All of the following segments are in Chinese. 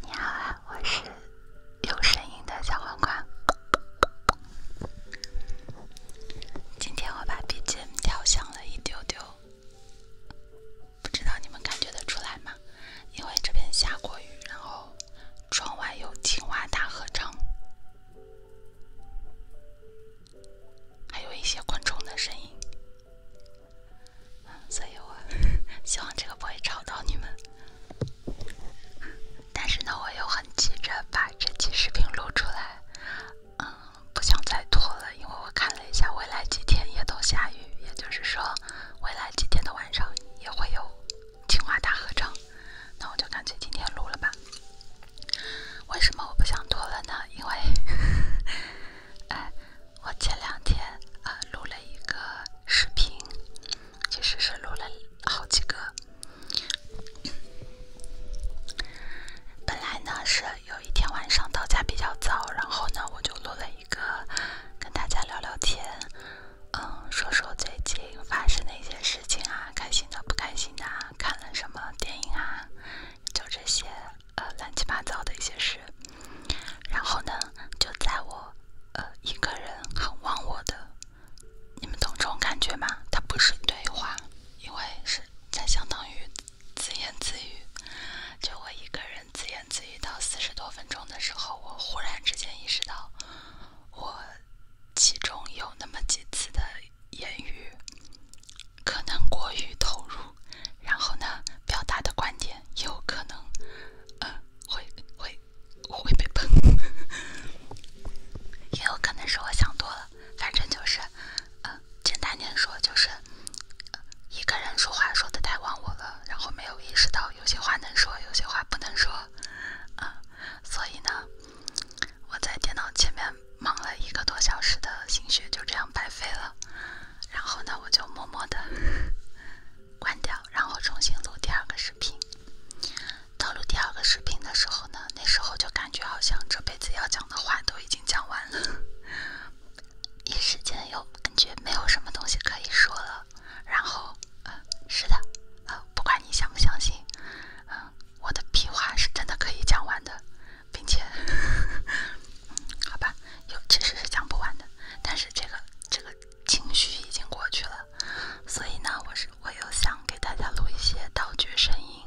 你好啊，我是有声音的小黄瓜。今天我把 BGM 调响了一丢丢，不知道你们感觉得出来吗？因为这边下过雨，然后窗外有青蛙大合唱。还有一些观众的声音，所以我 希望这个不会吵到你们。但是呢，我又很急着把这期视频录出来，嗯，不想再拖了，因为我看了一下，未来几天也都下雨，也就是说，未来几天的晚上也会有清华大合唱，那我就干脆今天录了吧。为什么我不想拖了呢？因为，哎，我前两天呃录了一个视频，其实是录了好几个。本来呢是有一天晚上到家比较早，然后呢我就录了一个跟大家聊聊天，嗯，说说最近发生的一些事情啊，开心的、不开心的，看了什么电影啊。就这些呃乱七八糟的一些事，然后呢，就在我呃一个人很忘我的，你们懂这种感觉吗？它不是对话，因为是在相当于自言自语，就我一个人自言自语到四十多分钟的时候，我忽然之间意识到，我其中有那么几次的。言语可能过于投入，然后呢，表达的观点也有可能，呃，会会会被喷。也有可能是我想多了，反正就是，呃，简单点说就是，一个人说话说的太忘我了，然后没有意识到有些话能说，有些话不能说，啊，所以呢。我在电脑前面忙了一个多小时的心血就这样白费了，然后呢，我就默默的 关掉，然后重新录第二个视频。到录第二个视频的时候呢，那时候就感觉好像这辈子要讲的话都已经讲完了，一时间又感觉没有什么东西可以说了。然后，呃，是的，呃，不管你相不相信，嗯。我的屁话是真的可以讲完的，并且，好吧，有其实是讲不完的，但是这个这个情绪已经过去了，所以呢，我是我又想给大家录一些道具声音，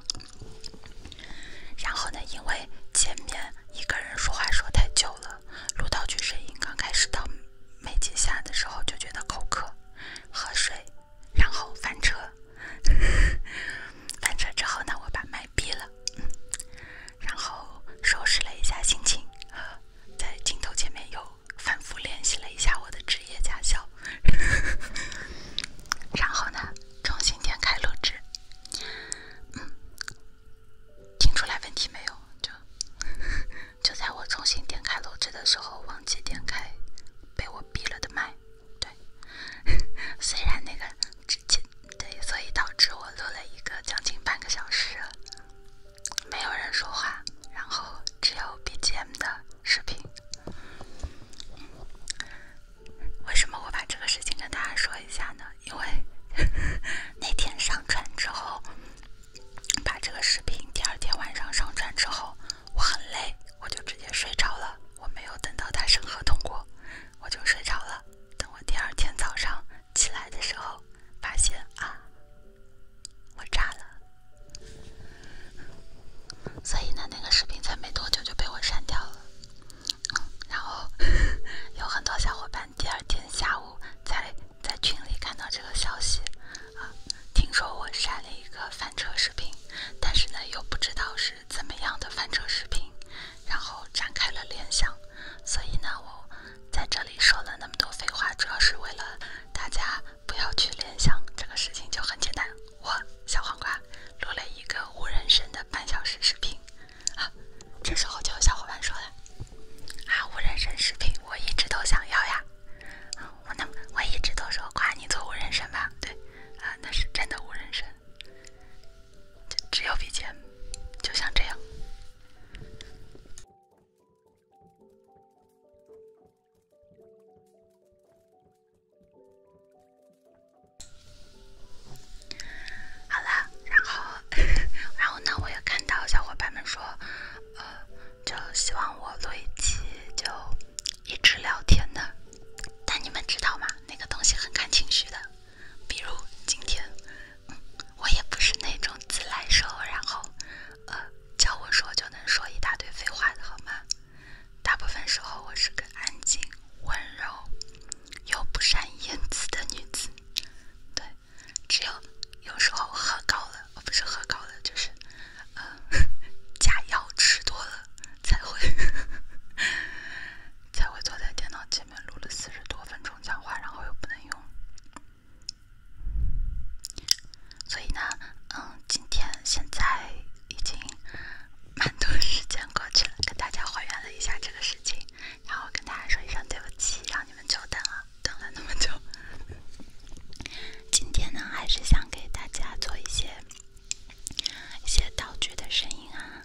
然后呢，因为前面一个人说话说太久了，录道具声音刚开始到没几下的时候就觉得口渴，喝水。然后翻车，翻车之后呢，我把麦闭了，然后收拾了一下心情，在镜头前面又反复练习了一下我的职业驾校，然后呢，重新点开录制，听出来问题没有？就就在我重新点开录制的时候，忘记点开被我闭了的麦。对，虽然那个之前，对，所以导致我录了一个将近半个小时，没有人说话，然后只有 BGM 的视频。为什么我把这个事情跟大家说一下呢？因为 那天上传之后，把这个视频第二天晚上上传之后。我很累，我就直接睡着了。我没有等到他审核通过，我就睡着了。等我第二天早上起来的时候，发现啊，我炸了。所以呢，那个视频才没多久就被我删掉了。然后有很多小伙伴第二天下午才在群里看到这个消息啊，听说我删了一个翻车视频，但是呢，又不知道是。怎么样的翻车视频，然后展开了联想，所以呢，我在这里说了那么多废话，主要是为了大家不要去联想。这个事情就很简单，我小黄瓜录了一个无人声的半小时视频。啊，这时候就有小伙伴说了，啊，无人声视频，我一直都想要呀。啊，我那我一直都说夸你做无人声吧，对，啊，那是真的无人声。只有笔尖，就像这样。好了，然后，然后呢？我也看到小伙伴们说，呃，就希望我录一期就。一直聊天的，但你们知道吗？那个东西很看情绪的。比如今天，我也不是那种自来熟，然后，呃，叫我说就能说一大堆废话的好吗？大部分时候我是个安静、温柔又不善言辞的女子。对，只有有时候喝高了，我不是喝高了，就是呃，假药吃多了。才会才会坐在电脑前面录了四十多分钟讲话，然后又不能用。所以呢，嗯，今天现在已经，蛮多时间过去了，跟大家还原了一下这个事情，然后跟大家说一声对不起，让你们久等了，等了那么久。今天呢，还是想给大家做一些。一些道具的声音啊，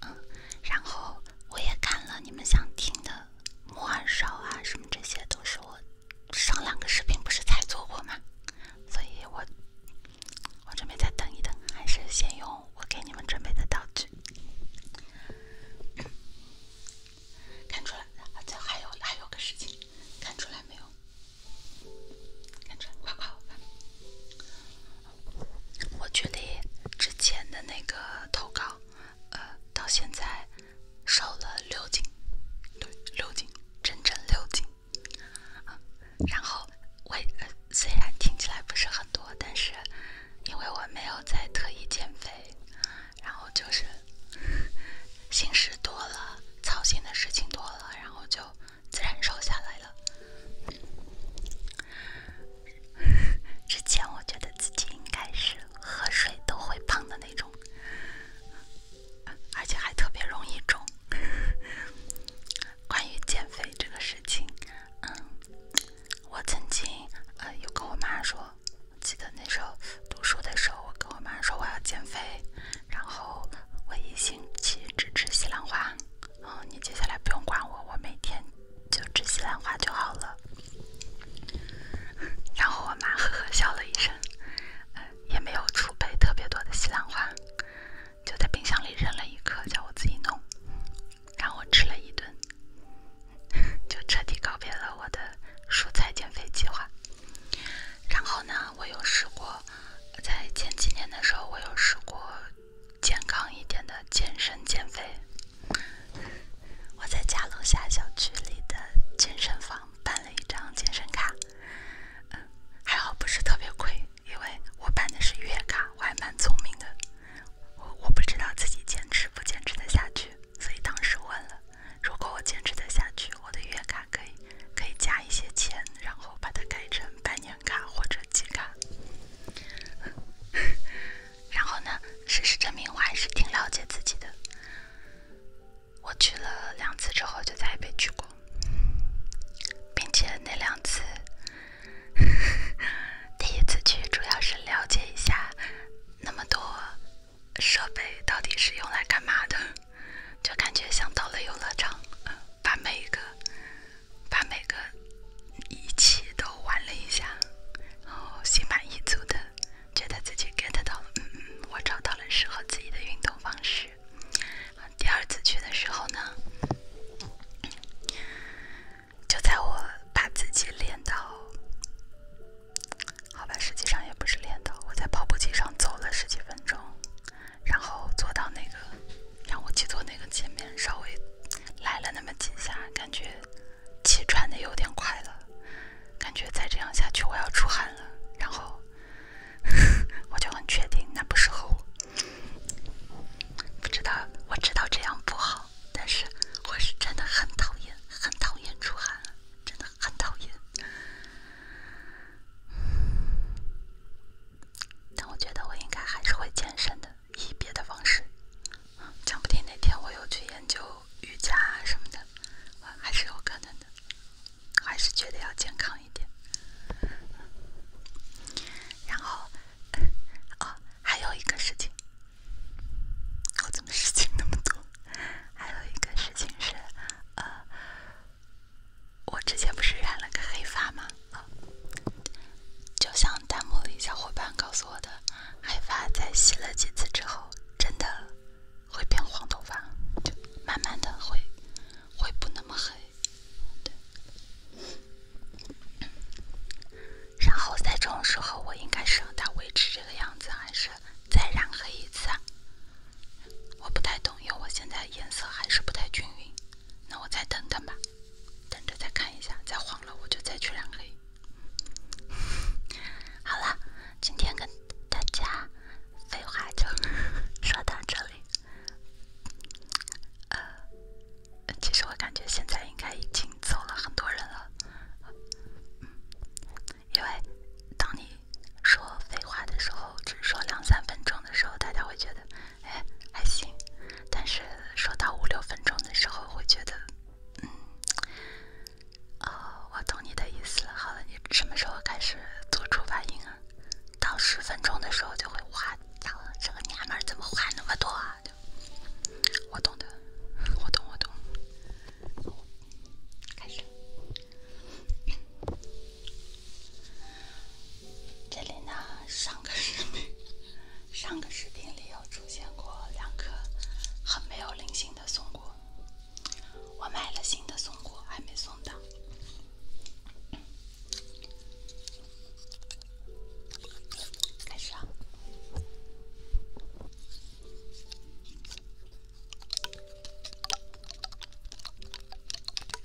嗯，然后我也看了你们想听的木耳勺啊，什么这些都是我上两个视频不是才做过吗？所以我我准备再等一等，还是先用我给你们准备的道具。看出来，再还有还有个事情，看出来没有？看出来，快我觉得之前的那个头稿，呃，到现在瘦了六斤，对，六斤，整整六斤。然后，我虽然听起来不是很多，但是因为我没有在特意减肥，然后就是 心事多了，操心的事情多了，然后就。自然瘦下来了。之前我觉得自己应该是喝水都会胖的那种，而且还特别容易肿。关于减肥这个事情，嗯，我曾经呃有跟我妈说，记得那时候读书的时候，我跟我妈说我要减肥，然后我一星期只吃西兰花。嗯，你接下来不用管我，我每天就吃西兰花就好了。然后我妈呵呵笑了一声，也没有储备特别多的西兰花，就在冰箱里扔了一颗，叫我自己弄。然后我吃了一顿，就彻底告别了我的蔬菜减肥计划。然后呢，我又试过。在前几年的时候，我有试过健康一点的健身减肥。我在家楼下小区里的健身房办了一张健身卡，还好不是特别贵，因为我办的是月卡。我还蛮聪明的，我我不知道自己坚持不坚持的下去，所以当时问了，如果我坚持的下去，我的月卡可以可以加一些钱，然后把它改成半。年卡或者季卡，然后呢？事实证明，我还是挺了解自己的。我去了两次之后，就再也没去过，并且那两次，第一次去主要是了解一下那么多设备到底是用来干嘛的。就感觉像到了游乐场，把每一个、把每个仪器都玩了一下，然后心满意足的，觉得自己 get 到了，嗯嗯，我找到了适合自己的运动方式。第二次去的时候呢，就在我把自己练到，好吧，实际上也不是练到，我在跑步机上走了十几分钟。然后坐到那个，让我去坐那个前面，稍微来了那么几下，感觉气喘的有点快了，感觉再这样下去我要出汗了。然后 我就很确定，那不适合我。不知道，我知道这样不好，但是我是真的很讨厌，很讨厌出汗，真的很讨厌。但我觉得我应该还是会健身的，以别的方式，讲不定哪天我又去研究瑜伽什么的，还是有可能的。我还是觉得要健康一点。然后，哦，还有一个事情，我怎么事情那么多？还有一个事情是，呃。我之前不是染了个黑发吗？就像弹幕里小伙伴告诉我的，黑发在洗了几次之后，真的会变黄头发，就慢慢的会会不那么黑。然后在这种时候，我应该是让它维持这个样子，还是再染黑一次啊？我不太懂，因为我现在颜色还是不太均匀。那我再等等吧，等着再看一下，再黄了我就再去染黑。好了，今天跟大家废话就说到这里。呃，其实我感觉现在应该已经走了很多人了，因为当你说废话的时候，只说两三分钟的时候，大家会觉得。哎，还行，但是说到五六分钟的时候，会觉得，嗯，哦，我懂你的意思了。好了，你什么时候开始做出反应啊？到十分钟的时候就会哇，咋了？这个娘们儿怎么话那么多啊？我懂的，我懂，我懂。开始。这里呢，上个视频，上个视频里有出现过两颗很没有灵性的松果。我买了新的松果，还没送到。开始啊。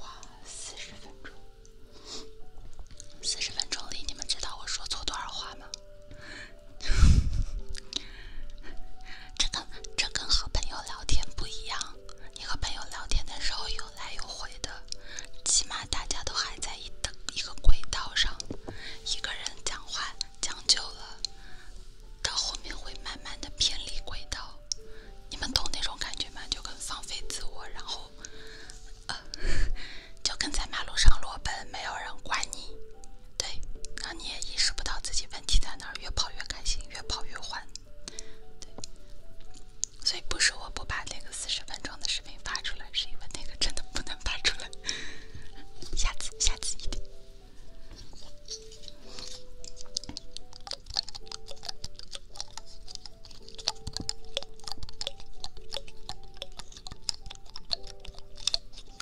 哇，四十分钟！四十分钟里，你们知道我说错多少话吗？这跟这跟和朋友聊天不一样，你和朋友聊天的时候有来有回的，起码大家都还在一个一个轨道上。一个人讲话讲久了，到后面会慢慢的偏离轨道。你们懂那种感觉吗？就跟放飞自我，然后，呃，就跟在马路上裸奔，没有人管你。对，让你也意识不到自己问题在哪儿，越跑越开心，越跑越欢。对，所以不是我不把那个四十分钟的视频发出来，是因为那个真的不能发出来。下次，下次一定。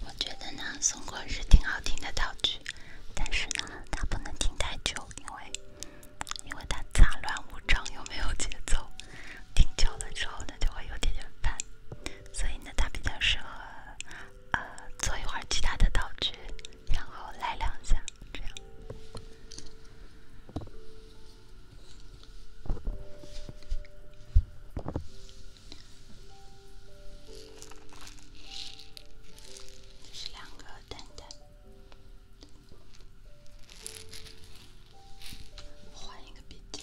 我觉得呢，松果是挺好听的道具，但是呢，它不能听太久，因为因为它杂乱无章，又没有节奏，听久了之后呢，就会有点点烦，所以呢，它比较适合呃做一会儿其他的道具。然后来两下，这样是两个蛋蛋。换一个笔尖。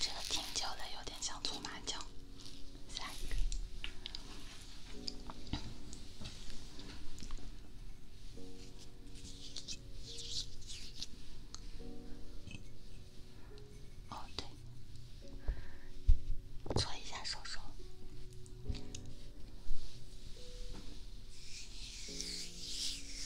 这个挺久了，有点像搓麻将。下一个。哦，对，搓一下手手。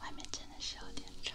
外面真的是有点吵。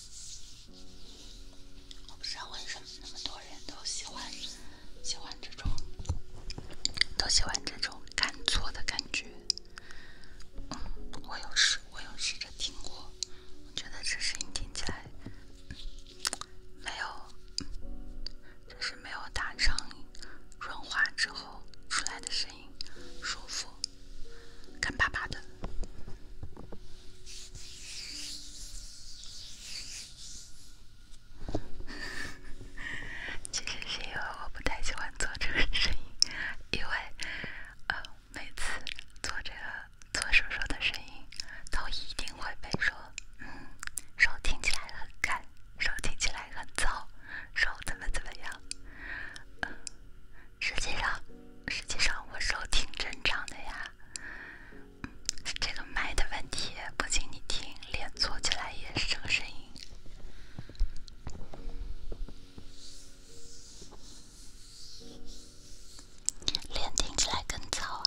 我不知道为什么那么多人都喜欢喜欢这种，都喜欢这种干搓的感觉。嗯，我有试，我有试着听过，我觉得这声音听起来没有，就是没有打上润滑之后出来的声音。舒服，干巴巴的。其实是因为我不太喜欢做这个声音，因为，嗯，每次做这个做手手的声音，都一定会被说，嗯，手听起来很干，手听起来很糙，手怎么怎么样。实际上，实际上我手挺正常的呀，这个麦的问题。不仅你听，脸坐起来也是这个声音，脸听起来更糙啊。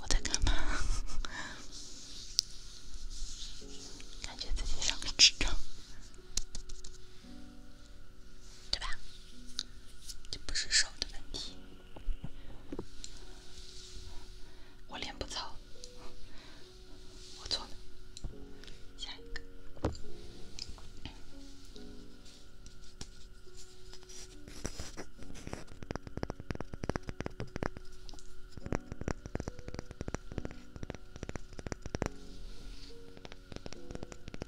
我在干嘛？感觉自己像个智障。对吧？这不是手的问题，我脸不糙，我错了，下一个。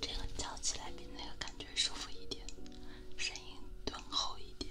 这个叫起来比那个感觉舒服一点。声音敦厚一点。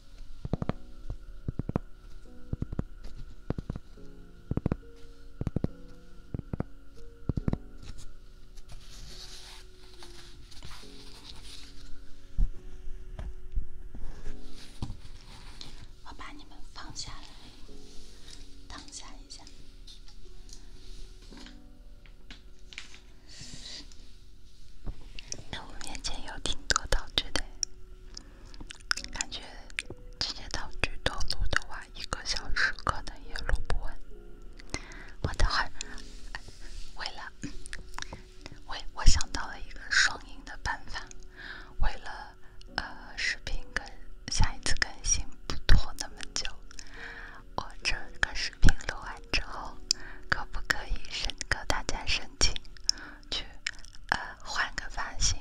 我把你们放下来，躺下一下。那我面前有挺多道具的，感觉这些道具多录的话，一个小时可能也录不完。我等会为了为我想到了一个双赢的办法，为了呃视频跟下一次更新不拖那么久，我这个是。录完之后，可不可以申请大家申请去呃换个发型，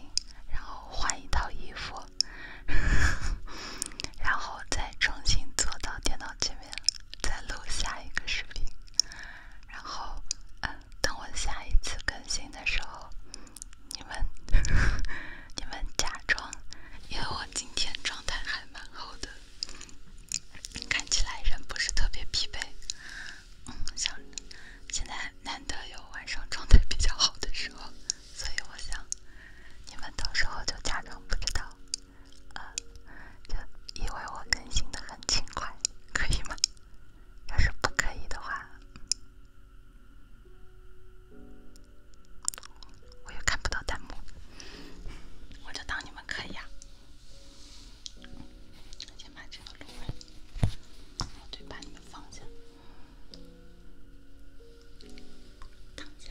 然后换一套衣服，然后再重新坐到电脑前面再录下一个视频，然后呃等我下一次更新的时候，你们 你们假装因为我今天状态还蛮好的。看起来人不是特别疲惫，嗯，想现在难得有晚上状态比较好的时候，所以我想你们到时候就假装不知道，啊，就以为我更新的很勤快，可以吗？要是不可以的话，我也看不到弹幕，我就当你们可以啊。先把这个弄完，对，把你们放下，躺下。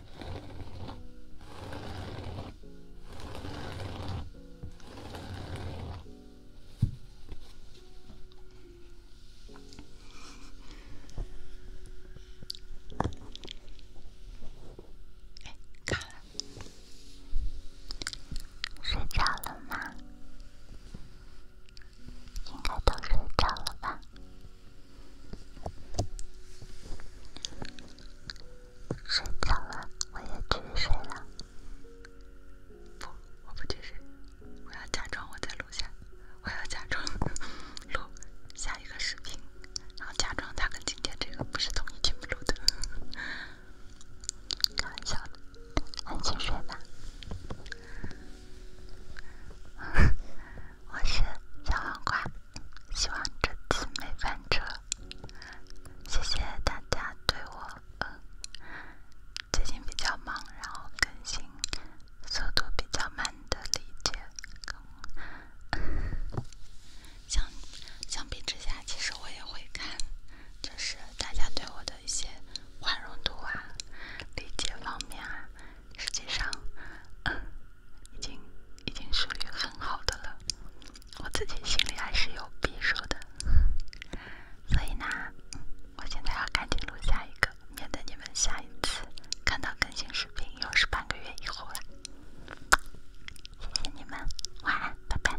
哎，卡，睡着了吗？应该都睡着了吧。睡着了，我也去睡了。不，我不去睡，我要假装我在录下，我要假装录下一个视频，然后假装他跟今天这个不是同一天录的。笑，安心睡吧。我是小黄瓜，希望这次没翻车。谢谢大家对我，最近比较忙，然后更新速度比较慢的理解。相相比之下，其实我也会看，就是大家对我的一些宽容度啊、理解方面啊。实际上，已经已经属于很好的了。我自己心里还是有鄙视的，所以呢，我现在要赶紧录下一个，免得你们下一次看到更新视频又是半个月以后了。谢谢你们，晚安，拜拜。